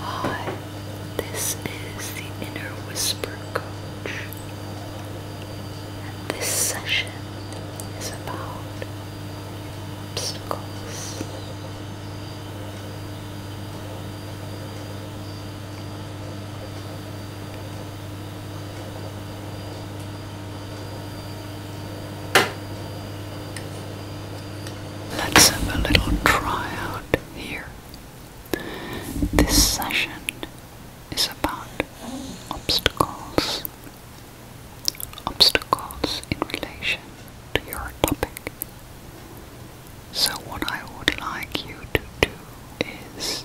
Hi, this is the Inner Whisper Coach, this session is about obstacles. Let's have a little tryout here. This session is about obstacles. Obstacles in relation to your topic. So, what I would like you to do is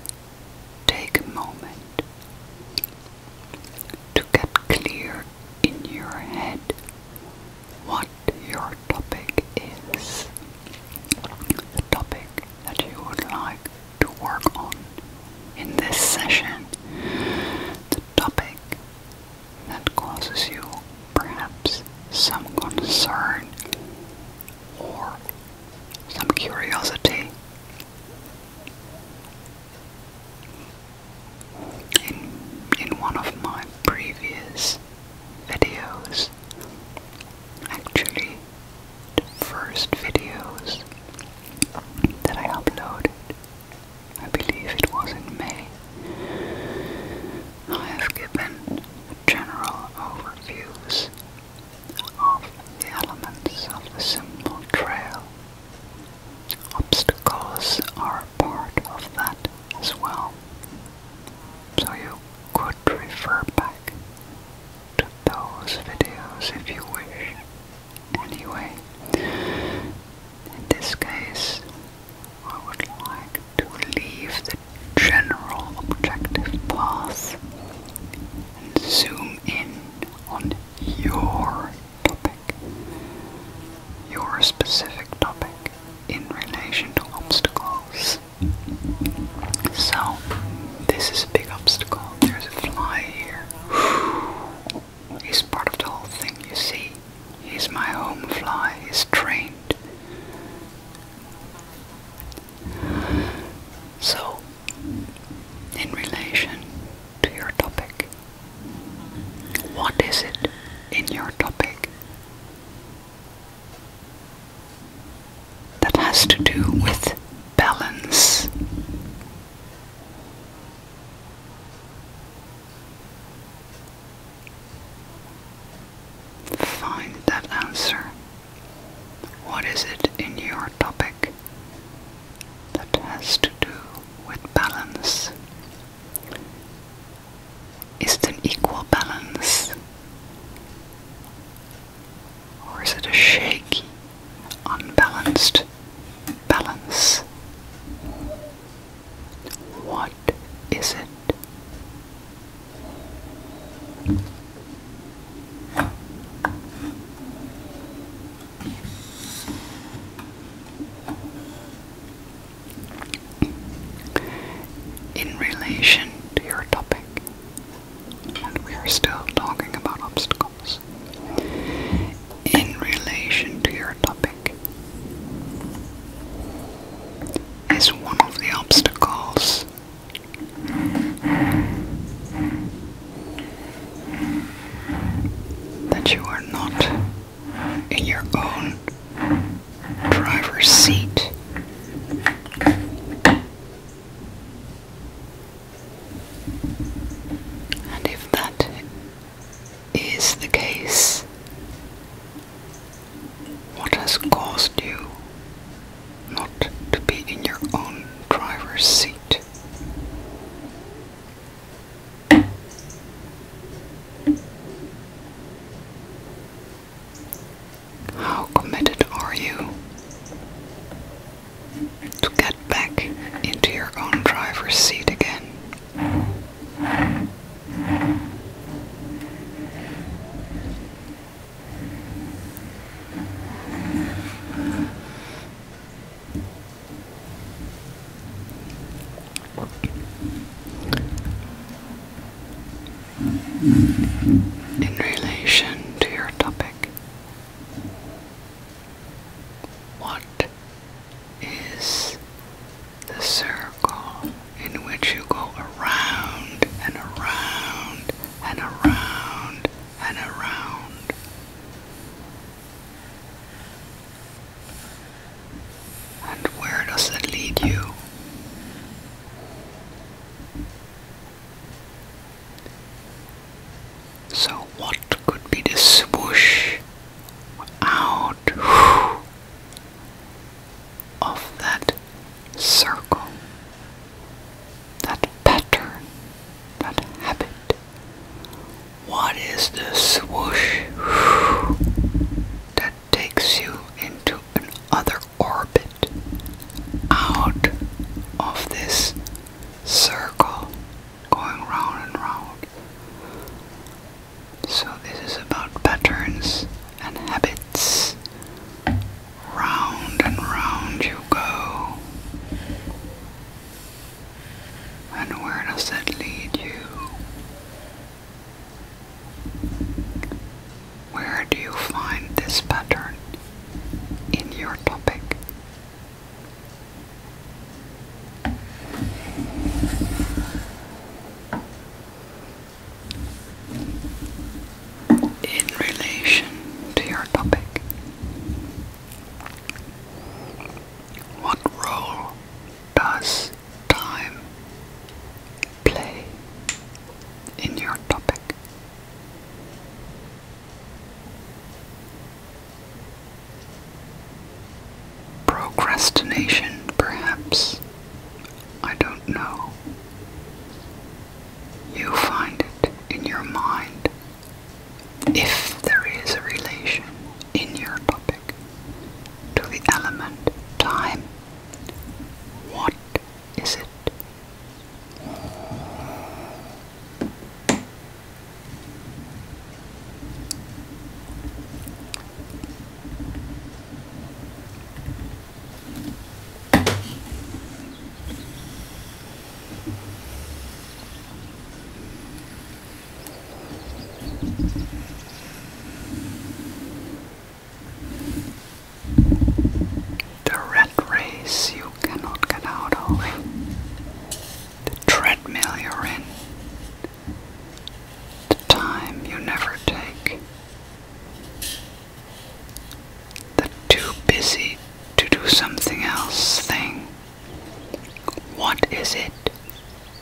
Take a moment to get clear in your head what your topic is, the topic that you would like to work on in this session, the topic that causes you perhaps some concern or some curiosity in in one of my previous videos actually the first videos that I uploaded I believe it was in May I have given general overviews of the elements of the simple trail. Obstacles are part of that as well. So you could refer back to those videos if you wish. Anyway, in this case, I would like to leave general objective path and zoom in on your topic, your specific topic in relation to obstacles. So, this is a big obstacle. There's a fly here. He's part of the whole thing, you see. He's my home fly, he's trained. So, in relation to your topic, what is it in your topic that has to do with balance? Find that answer what is it in your topic that has to do with balance? Is it an equal balance? Or is it a shaky, unbalanced balance? What is it in relation to your topic, and we are still talking about obstacles. In relation to your topic, is one of the obstacles that you are not in your own driver's seat. And if that is the case, what has caused you not to be in your own driver's seat? How committed are you to get back into your own driver's seat again? in relation to your topic. What is the circle in which you go around and around and around and around. And where does that lead you? So, what could be the swoosh out of that circle, that pattern, that habit. What is this swoosh that takes you into another orbit out of this circle going round and round? So, this is about patterns and habits Round and round you go. And where does that lead you? Where do you find this pattern in your topic? in relation to your topic. What role does time play in your topic? Procrastination, perhaps. I don't know. You find it in your mind if there is a relation in your topic to the element time. What is it? The rat race you cannot get out of. The treadmill you're in. The time you never take. The too busy to do something else thing. What is it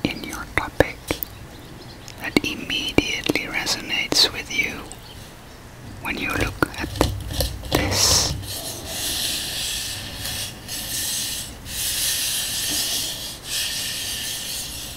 in your topic that immediately resonates with you when you look at this?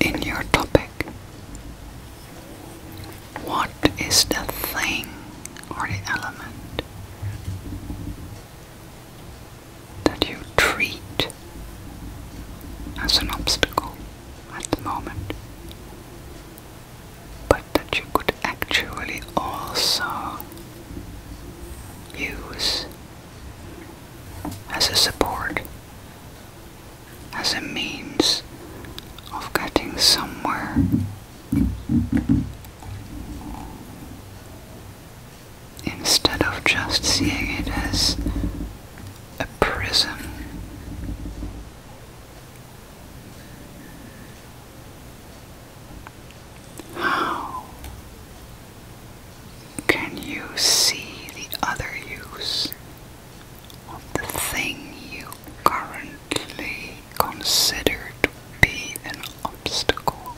In your topic, what is the thing or the element that you treat as an obstacle at the moment, but that you could actually also use as a support, as a means of getting somewhere instead of just seeing it as a prison, How can you see the other use of the thing you currently consider to be an obstacle?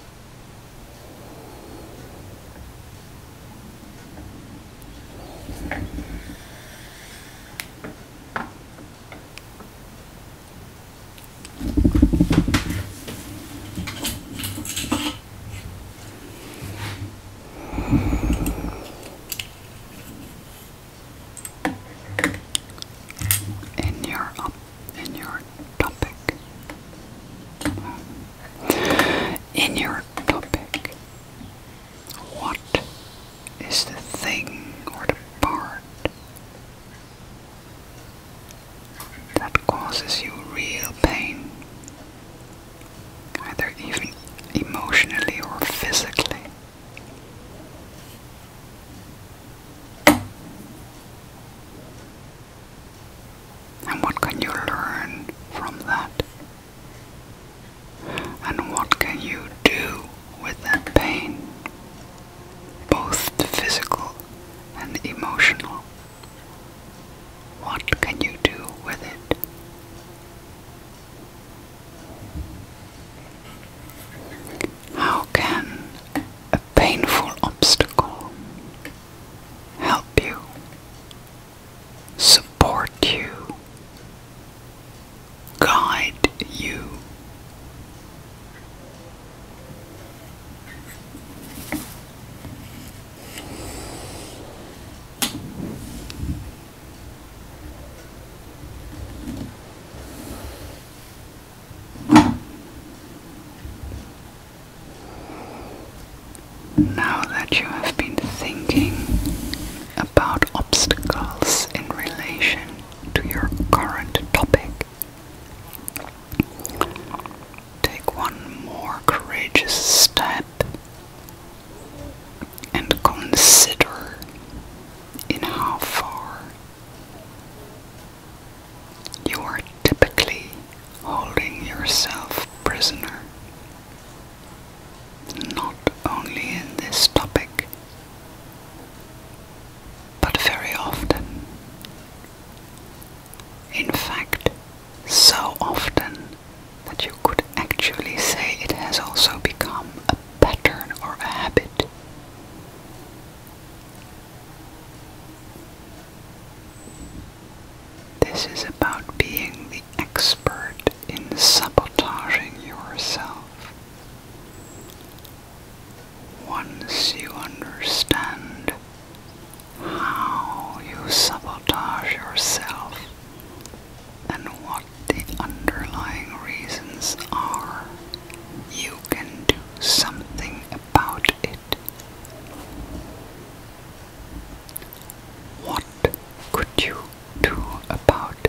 in your in your topic in your topic. What is the thing or the part that causes you real pain, either even emotionally or physically? And what can you learn from that? And what can you do with that pain? Both the physical and the emotional. What can you do with it? How can a painful obstacle help you support you, guide you. Now that you have been thinking about obstacles in relation to your current topic, take one more courageous step and consider in how far you are typically holding yourself prisoner. Not only in this topic, but very often. In fact, so often that you could actually say it has also become a pattern or a habit. This is about being the expert in sabotaging yourself. Once you understand how you sabotage yourself and what the underlying reasons are, you can do something about it. What could you do about it?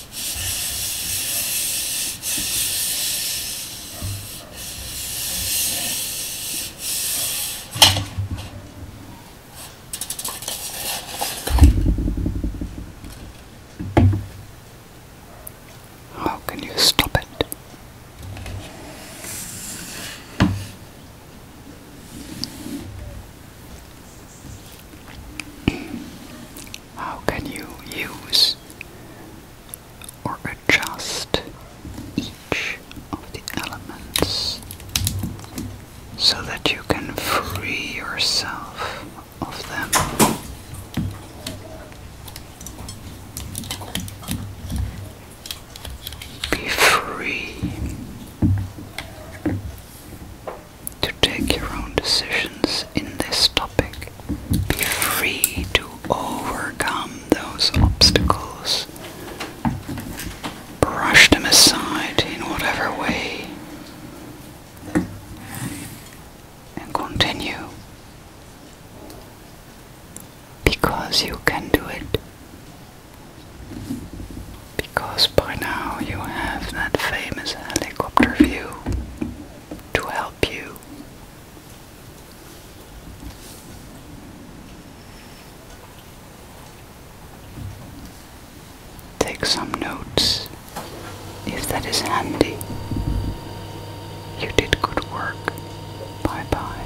How can you stop it? How can you use or adjust each of the elements so that you can free yourself of them? Be free to take your own decisions in this topic. Be free to overcome those obstacles. Brush them aside in whatever way and continue because you can do it. Because by now you have that famous helicopter view to help you. Take some notes if that is handy. You did good work. Bye bye.